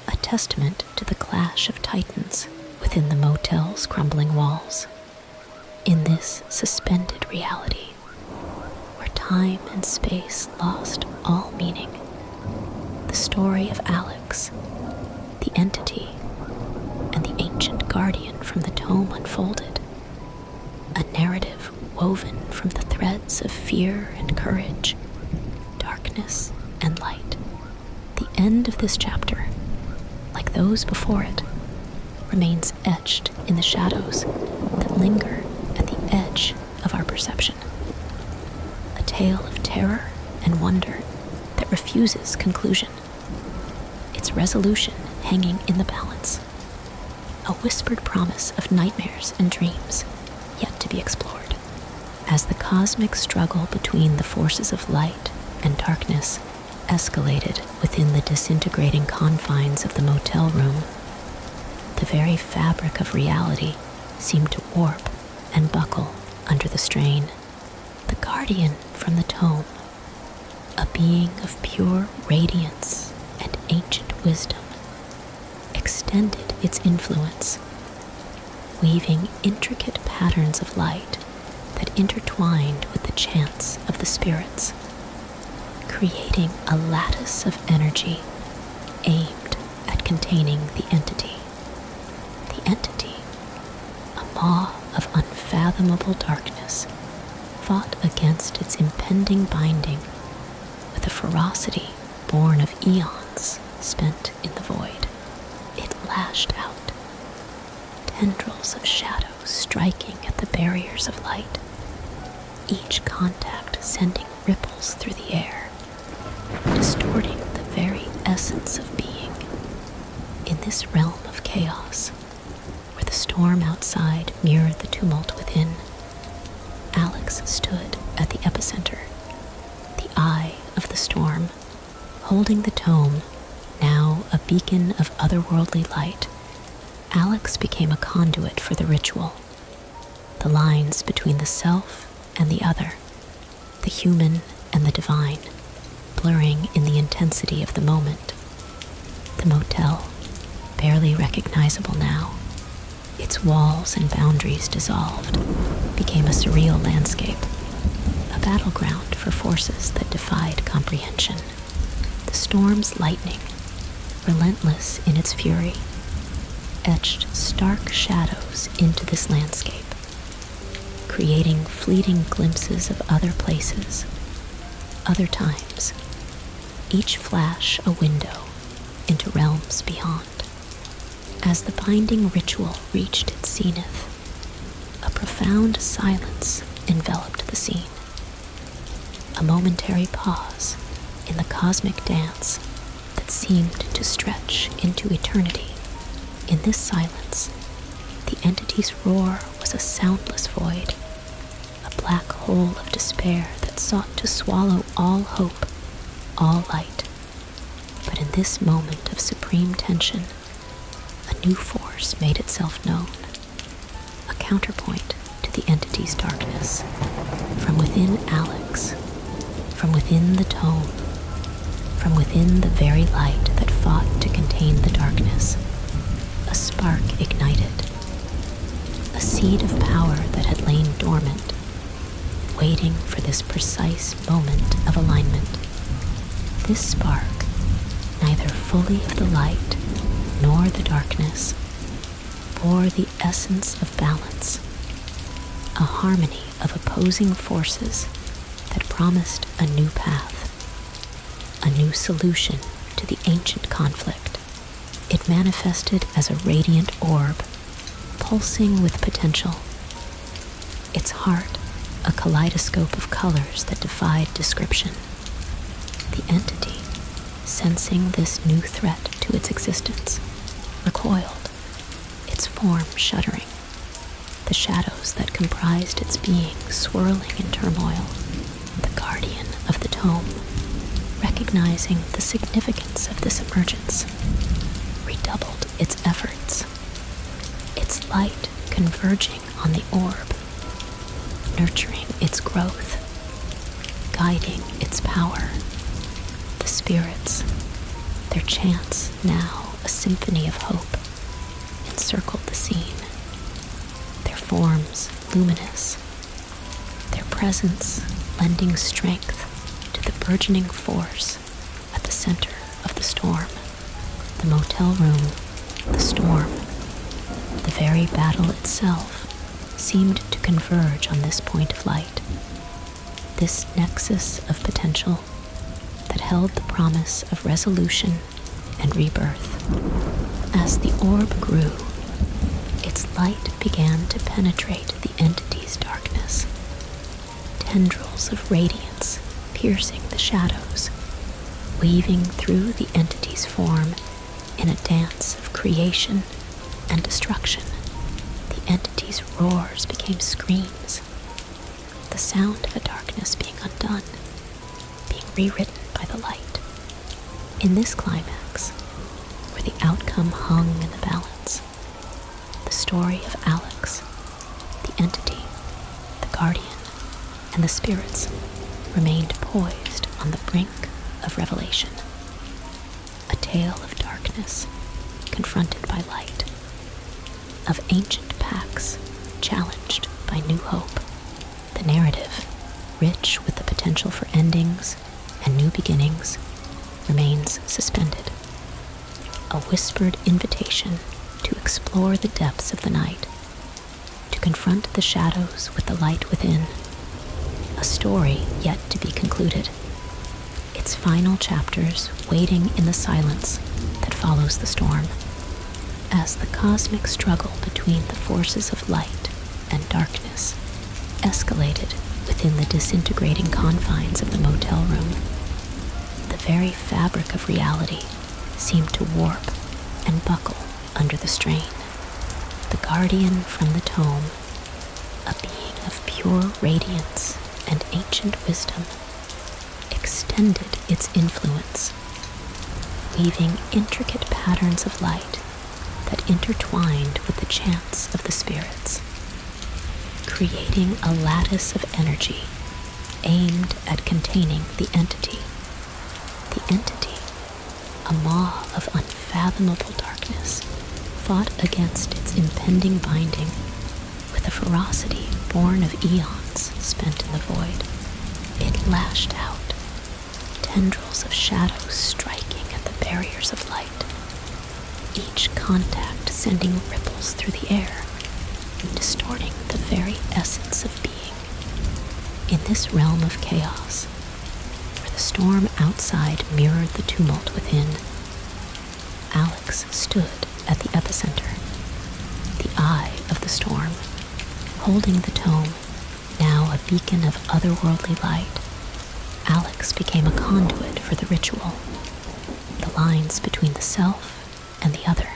[SPEAKER 1] a testament to the clash of titans within the motel's crumbling walls. In this suspended reality, where time and space lost all meaning, the story of Alex, the entity, and the ancient guardian from the tome unfolded, a narrative woven from the threads of fear and courage, darkness and light. The end of this chapter, like those before it, remains etched in the shadows that linger at the edge of our perception. A tale of terror and wonder that refuses conclusion, its resolution hanging in the balance. A whispered promise of nightmares and dreams yet to be explored. As the cosmic struggle between the forces of light and darkness escalated within the disintegrating confines of the motel room. The very fabric of reality seemed to warp and buckle under the strain. The guardian from the tome, a being of pure radiance and ancient wisdom, extended its influence, weaving intricate patterns of light that intertwined with the chants of the spirits creating a lattice of energy aimed at containing the entity. The entity, a maw of unfathomable darkness, fought against its impending binding with a ferocity born of eons spent in the void. It lashed out, tendrils of shadow striking at the barriers of light, each contact sending ripples through the air, distorting the very essence of being. In this realm of chaos, where the storm outside mirrored the tumult within, Alex stood at the epicenter, the eye of the storm, holding the tome, now a beacon of otherworldly light, Alex became a conduit for the ritual, the lines between the self and the other, the human and the divine, blurring in the intensity of the moment. The motel, barely recognizable now, its walls and boundaries dissolved, became a surreal landscape, a battleground for forces that defied comprehension the storm's lightning, relentless in its fury, etched stark shadows into this landscape, creating fleeting glimpses of other places, other times, each flash a window into realms beyond. As the binding ritual reached its zenith, a profound silence enveloped the scene. A momentary pause in the cosmic dance that seemed to stretch into eternity. In this silence, the entity's roar was a soundless void, a black hole of despair that sought to swallow all hope, all light. But in this moment of supreme tension, a new force made itself known, a counterpoint to the entity's darkness. From within Alex, from within the tome, from within the very light that fought to contain the darkness, a spark ignited, a seed of power that had lain dormant, waiting for this precise moment of alignment. This spark, neither fully of the light nor the darkness, bore the essence of balance, a harmony of opposing forces that promised a new path, a new solution to the ancient conflict. It manifested as a radiant orb, pulsing with potential, its heart a kaleidoscope of colors that defied description. The entity, sensing this new threat to its existence, recoiled, its form shuddering, the shadows that comprised its being swirling in turmoil. The guardian of the tome, recognizing the significance of this emergence, redoubled its efforts, its light converging on the orb nurturing its growth, guiding its power. The spirits, their chants now a symphony of hope, encircled the scene. Their forms luminous, their presence lending strength to the burgeoning force at the center of the storm. The motel room, the storm, the very battle itself seemed to converge on this point of light, this nexus of potential that held the promise of resolution and rebirth. As the orb grew, its light began to penetrate the entity's darkness. Tendrils of radiance piercing the shadows, weaving through the entity's form in a dance of creation and destruction, the entity's roars became screams, the sound of a darkness being undone, being rewritten by the light. In this climax, where the outcome hung in the balance, the story of Alex, the entity, the guardian, and the spirits remained poised on the brink of revelation. A tale of darkness confronted by light, of ancient pacts challenged by new hope. The narrative, rich with the potential for endings and new beginnings, remains suspended. A whispered invitation to explore the depths of the night to confront the shadows with the light within. A story yet to be concluded, its final chapters waiting in the silence that follows the storm, as the cosmic struggle between the forces of light and darkness escalated within the disintegrating confines of the motel room. The very fabric of reality seemed to warp and buckle under the strain. The guardian from the tome, a being of pure radiance and ancient wisdom, extended its influence, weaving intricate patterns of light that intertwined with the chants of the spirits, creating a lattice of energy aimed at containing the entity. The entity a maw of unfathomable darkness fought against its impending binding with a ferocity born of eons spent in the void. It lashed out, tendrils of shadow striking at the barriers of light, each contact sending ripples through the air distorting the very essence of being. In this realm of chaos, for the storm outside mirrored the tumult within. Alex stood at the epicenter, the eye of the storm, holding the tome, now a beacon of otherworldly light. Alex became a conduit for the ritual, the lines between the self and the other,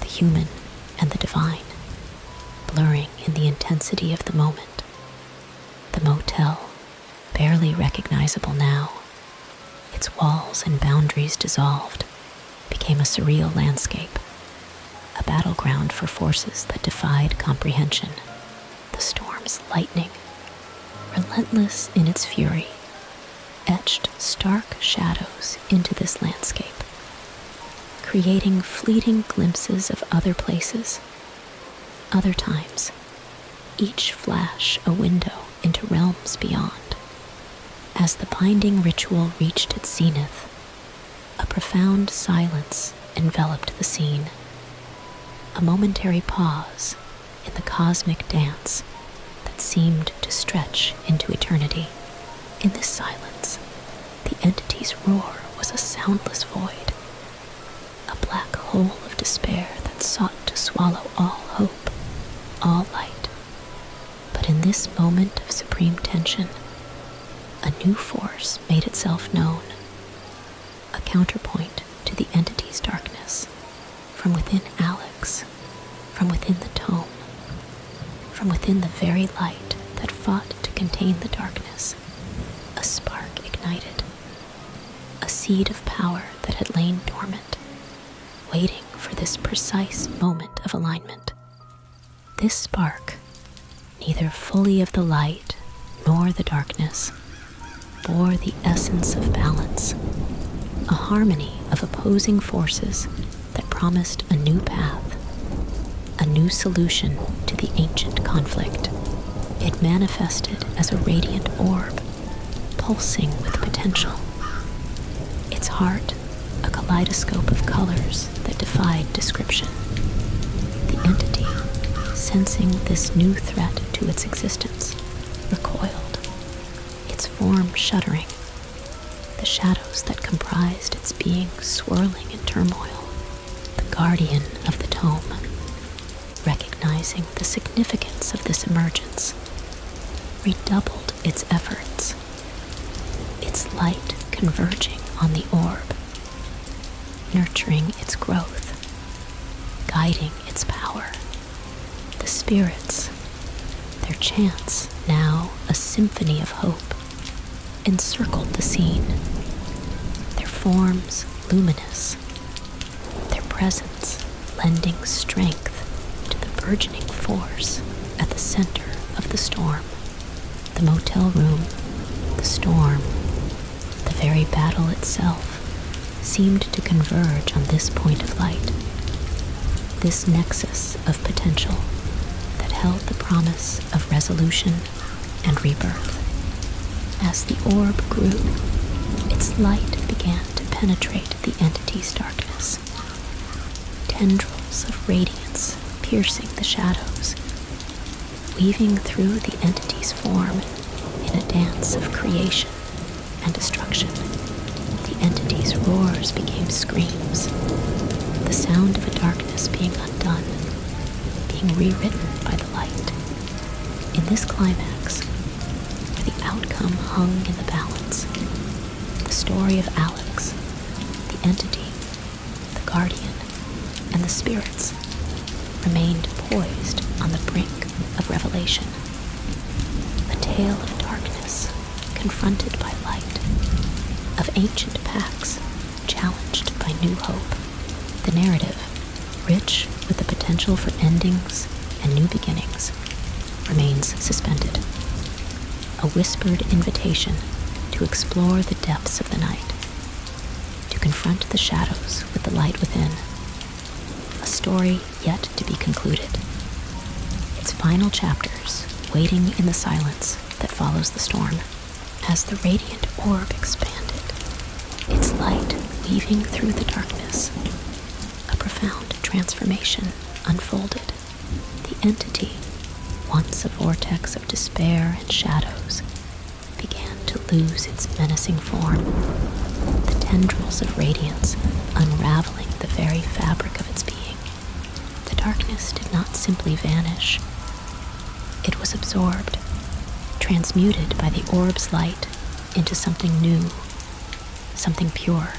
[SPEAKER 1] the human and the divine, blurring in the intensity of the moment. The motel, barely recognizable now, its walls and boundaries dissolved, became a surreal landscape, a battleground for forces that defied comprehension. The storm's lightning, relentless in its fury, etched stark shadows into this landscape, creating fleeting glimpses of other places other times, each flash a window into realms beyond. As the binding ritual reached its zenith, a profound silence enveloped the scene. A momentary pause in the cosmic dance that seemed to stretch into eternity. In this silence, the entity's roar was a soundless void, a black hole of despair that sought to swallow all hope, all light. But in this moment of supreme tension, a new force made itself known, a counterpoint to the entity's darkness, from within Alex, from within the tome, from within the very light that fought to contain the darkness. A spark ignited, a seed of power that had lain dormant, waiting for this precise moment of alignment. This spark, neither fully of the light nor the darkness, bore the essence of balance, a harmony of opposing forces that promised a new path, a new solution to the ancient conflict. It manifested as a radiant orb, pulsing with potential. Its heart, a kaleidoscope of colors that defied description. The entity, sensing this new threat to its existence, recoiled, its form shuddering, the shadows that comprised its being swirling in turmoil the guardian of the tome, recognizing the significance of this emergence, redoubled its efforts, its light converging on the orb, nurturing its growth, guiding its power. The spirits, their chants now a symphony of hope, encircled the scene, their forms luminous, their presence lending strength to the burgeoning force at the center of the storm. The motel room, the storm, the very battle itself seemed to converge on this point of light, this nexus of potential that held the promise of resolution and rebirth. As the orb grew, its light began to penetrate the entity's darkness. Tendrils of radiance piercing the shadows, weaving through the entity's form in a dance of creation and destruction. The entity's roars became screams, the sound of a darkness being undone, being rewritten by in this climax, where the outcome hung in the balance, the story of Alex, the entity, the guardian, and the spirits remained poised on the brink of revelation. A tale of darkness confronted by light, of ancient pacts challenged by new hope. The narrative, rich with the potential for endings and new beginnings, remains suspended. A whispered invitation to explore the depths of the night, to confront the shadows with the light within. A story yet to be concluded. Its final chapters waiting in the silence that follows the storm. As the radiant orb expanded, its light weaving through the darkness, a profound transformation unfolded. The entity, once a vortex of despair and shadows, began to lose its menacing form, the tendrils of radiance unraveling the very fabric of its being. The darkness did not simply vanish, it was absorbed, transmuted by the orb's light into something new, something pure.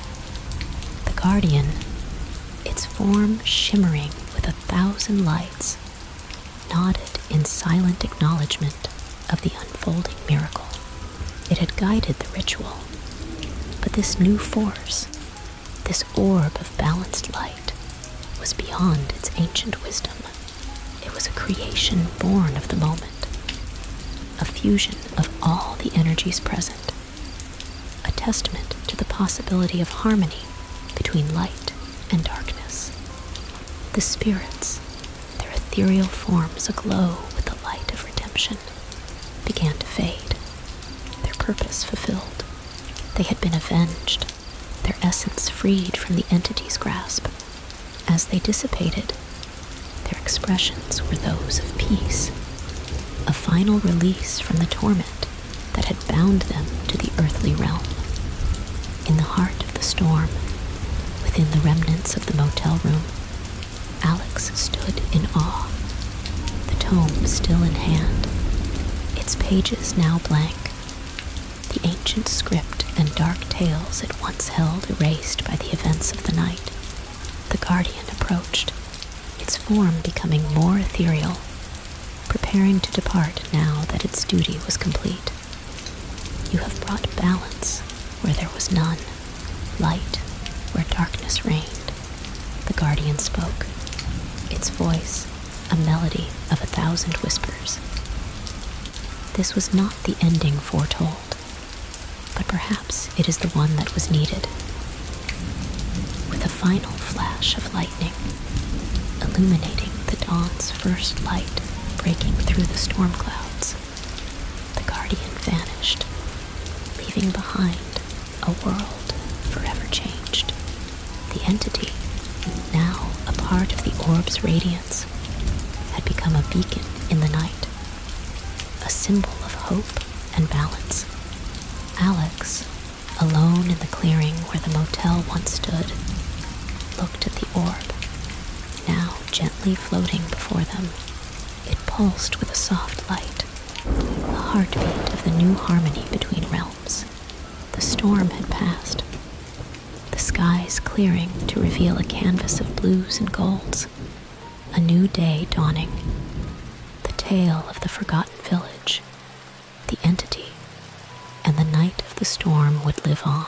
[SPEAKER 1] The Guardian, its form shimmering with a thousand lights, nodded in silent acknowledgement of the unfolding miracle. It had guided the ritual, but this new force, this orb of balanced light, was beyond its ancient wisdom. It was a creation born of the moment, a fusion of all the energies present, a testament to the possibility of harmony between light and darkness. The spirits, their ethereal forms aglow with the light of redemption, began to fade, their purpose fulfilled. They had been avenged their essence freed from the entity's grasp. As they dissipated, their expressions were those of peace, a final release from the torment that had bound them to the earthly realm. In the heart of the storm, within the remnants of the motel room, Alex stood in awe, the tome still in hand, its pages now blank, the ancient script and dark tales it once held erased by the events of the night. The guardian approached, its form becoming more ethereal, preparing to depart now that its duty was complete. You have brought balance where there was none, light where darkness reigned. The guardian spoke, its voice a melody of a thousand whispers. This was not the ending foretold, but perhaps it is the one that was needed. With a final flash of lightning, illuminating the dawn's first light breaking through the storm clouds, the Guardian vanished, leaving behind a world forever changed. The entity, now a part of the orb's radiance, had become a beacon in the night, a symbol of hope and balance. Alex, alone in the clearing where the motel once stood, looked at the orb, now gently floating before them. It pulsed with a soft light, the heartbeat of the new harmony between realms. The storm had passed, the skies clearing to reveal a canvas of blues and golds, a new day dawning. The tale of the forgotten village, the entity, and the night of the storm would live on,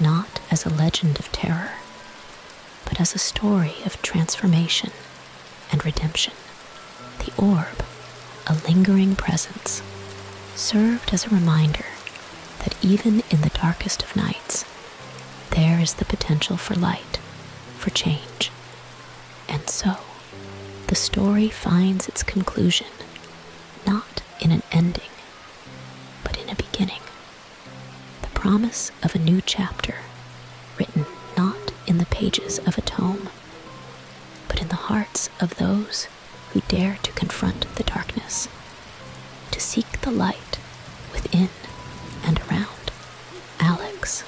[SPEAKER 1] not as a legend of terror, but as a story of transformation and redemption. The orb a lingering presence, served as a reminder that even in the darkest of nights, there is the potential for light, for change. And so, the story finds its conclusion not in an ending, but in a beginning. The promise of a new chapter, written not in the pages of a tome, but in the hearts of those who dare to confront the darkness, to seek the light within and around. Alex,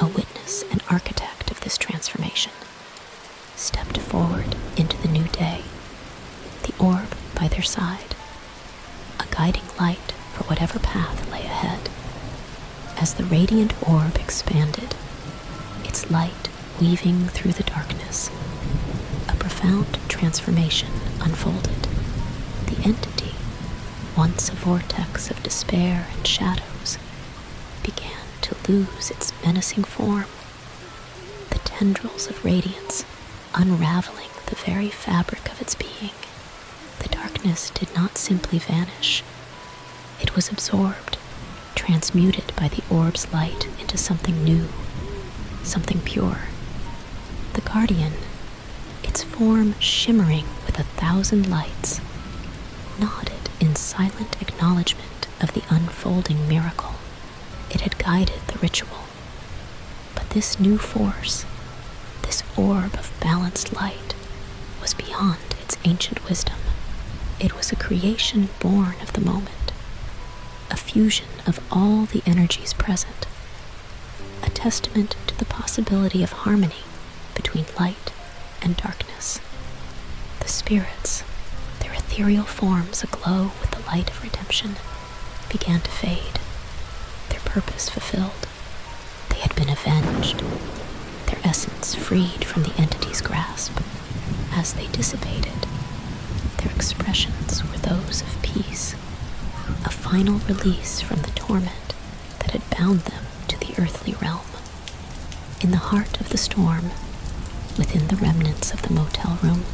[SPEAKER 1] a witness and architect of this transformation, stepped forward into the new day, the orb by their side, a guiding light for whatever path lay ahead. As the radiant orb expanded, its light weaving through the darkness. A profound transformation unfolded. The entity, once a vortex of despair and shadows, began to lose its menacing form. The tendrils of radiance unraveling the very fabric of its being. The darkness did not simply vanish, it was absorbed transmuted by the orb's light into something new, something pure. The Guardian, its form shimmering with a thousand lights, nodded in silent acknowledgement of the unfolding miracle. It had guided the ritual. But this new force, this orb of balanced light, was beyond its ancient wisdom. It was a creation born of the moment, a fusion of all the energies present, a testament to the possibility of harmony between light and darkness. The spirits, their ethereal forms aglow with the light of redemption, began to fade, their purpose fulfilled. They had been avenged, their essence freed from the entity's grasp. As they dissipated, their expressions were those of peace, a final release from the torment that had bound them to the earthly realm. In the heart of the storm, within the remnants of the motel room,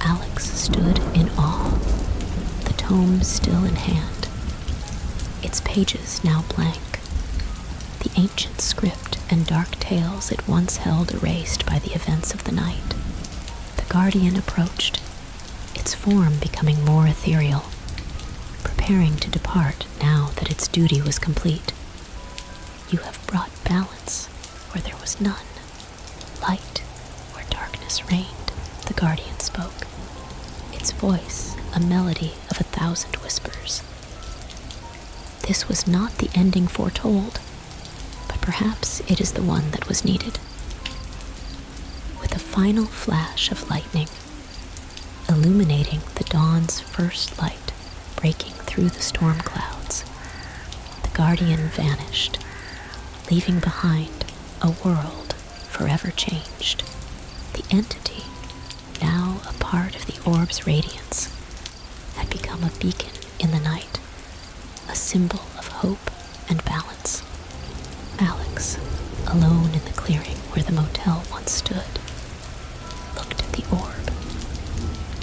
[SPEAKER 1] Alex stood in awe, the tome still in hand, its pages now blank, the ancient script and dark tales it once held erased by the events of the night. The guardian approached, its form becoming more ethereal, preparing to depart now that its duty was complete. You have brought balance where there was none. Light where darkness reigned, the guardian spoke, its voice a melody of a thousand whispers. This was not the ending foretold, but perhaps it is the one that was needed. With a final flash of lightning, illuminating the dawn's first light breaking through the storm clouds, the guardian vanished, leaving behind a world forever changed. The entity, now a part of the orb's radiance, had become a beacon in the night, a symbol of hope and balance. Alex, alone in the clearing where the motel once stood, looked at the orb,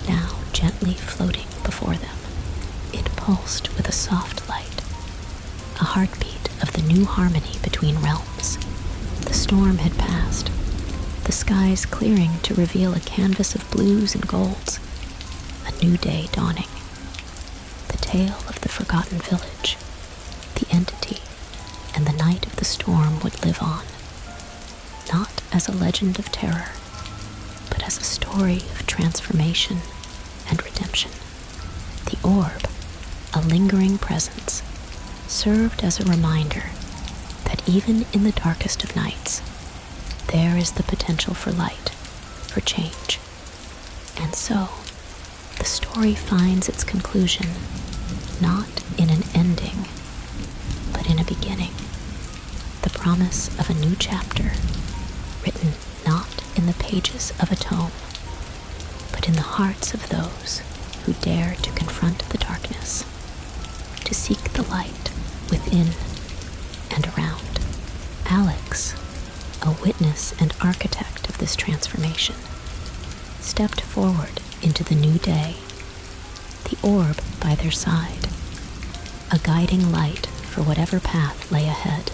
[SPEAKER 1] now gently floating before them. It pulsed with a soft light, a heartbeat of the new harmony between realms. The storm had passed, the skies clearing to reveal a canvas blues and golds, a new day dawning. The tale of the forgotten village, the entity, and the night of the storm would live on, not as a legend of terror, but as a story of transformation and redemption. The orb, a lingering presence, served as a reminder that even in the darkest of nights, there is the potential for light, for change. And so, the story finds its conclusion not in an ending, but in a beginning. The promise of a new chapter, written not in the pages of a tome, but in the hearts of those who dare to confront the darkness to seek the light within and around. Alex, a witness and architect of this transformation, stepped forward into the new day, the orb by their side, a guiding light for whatever path lay ahead.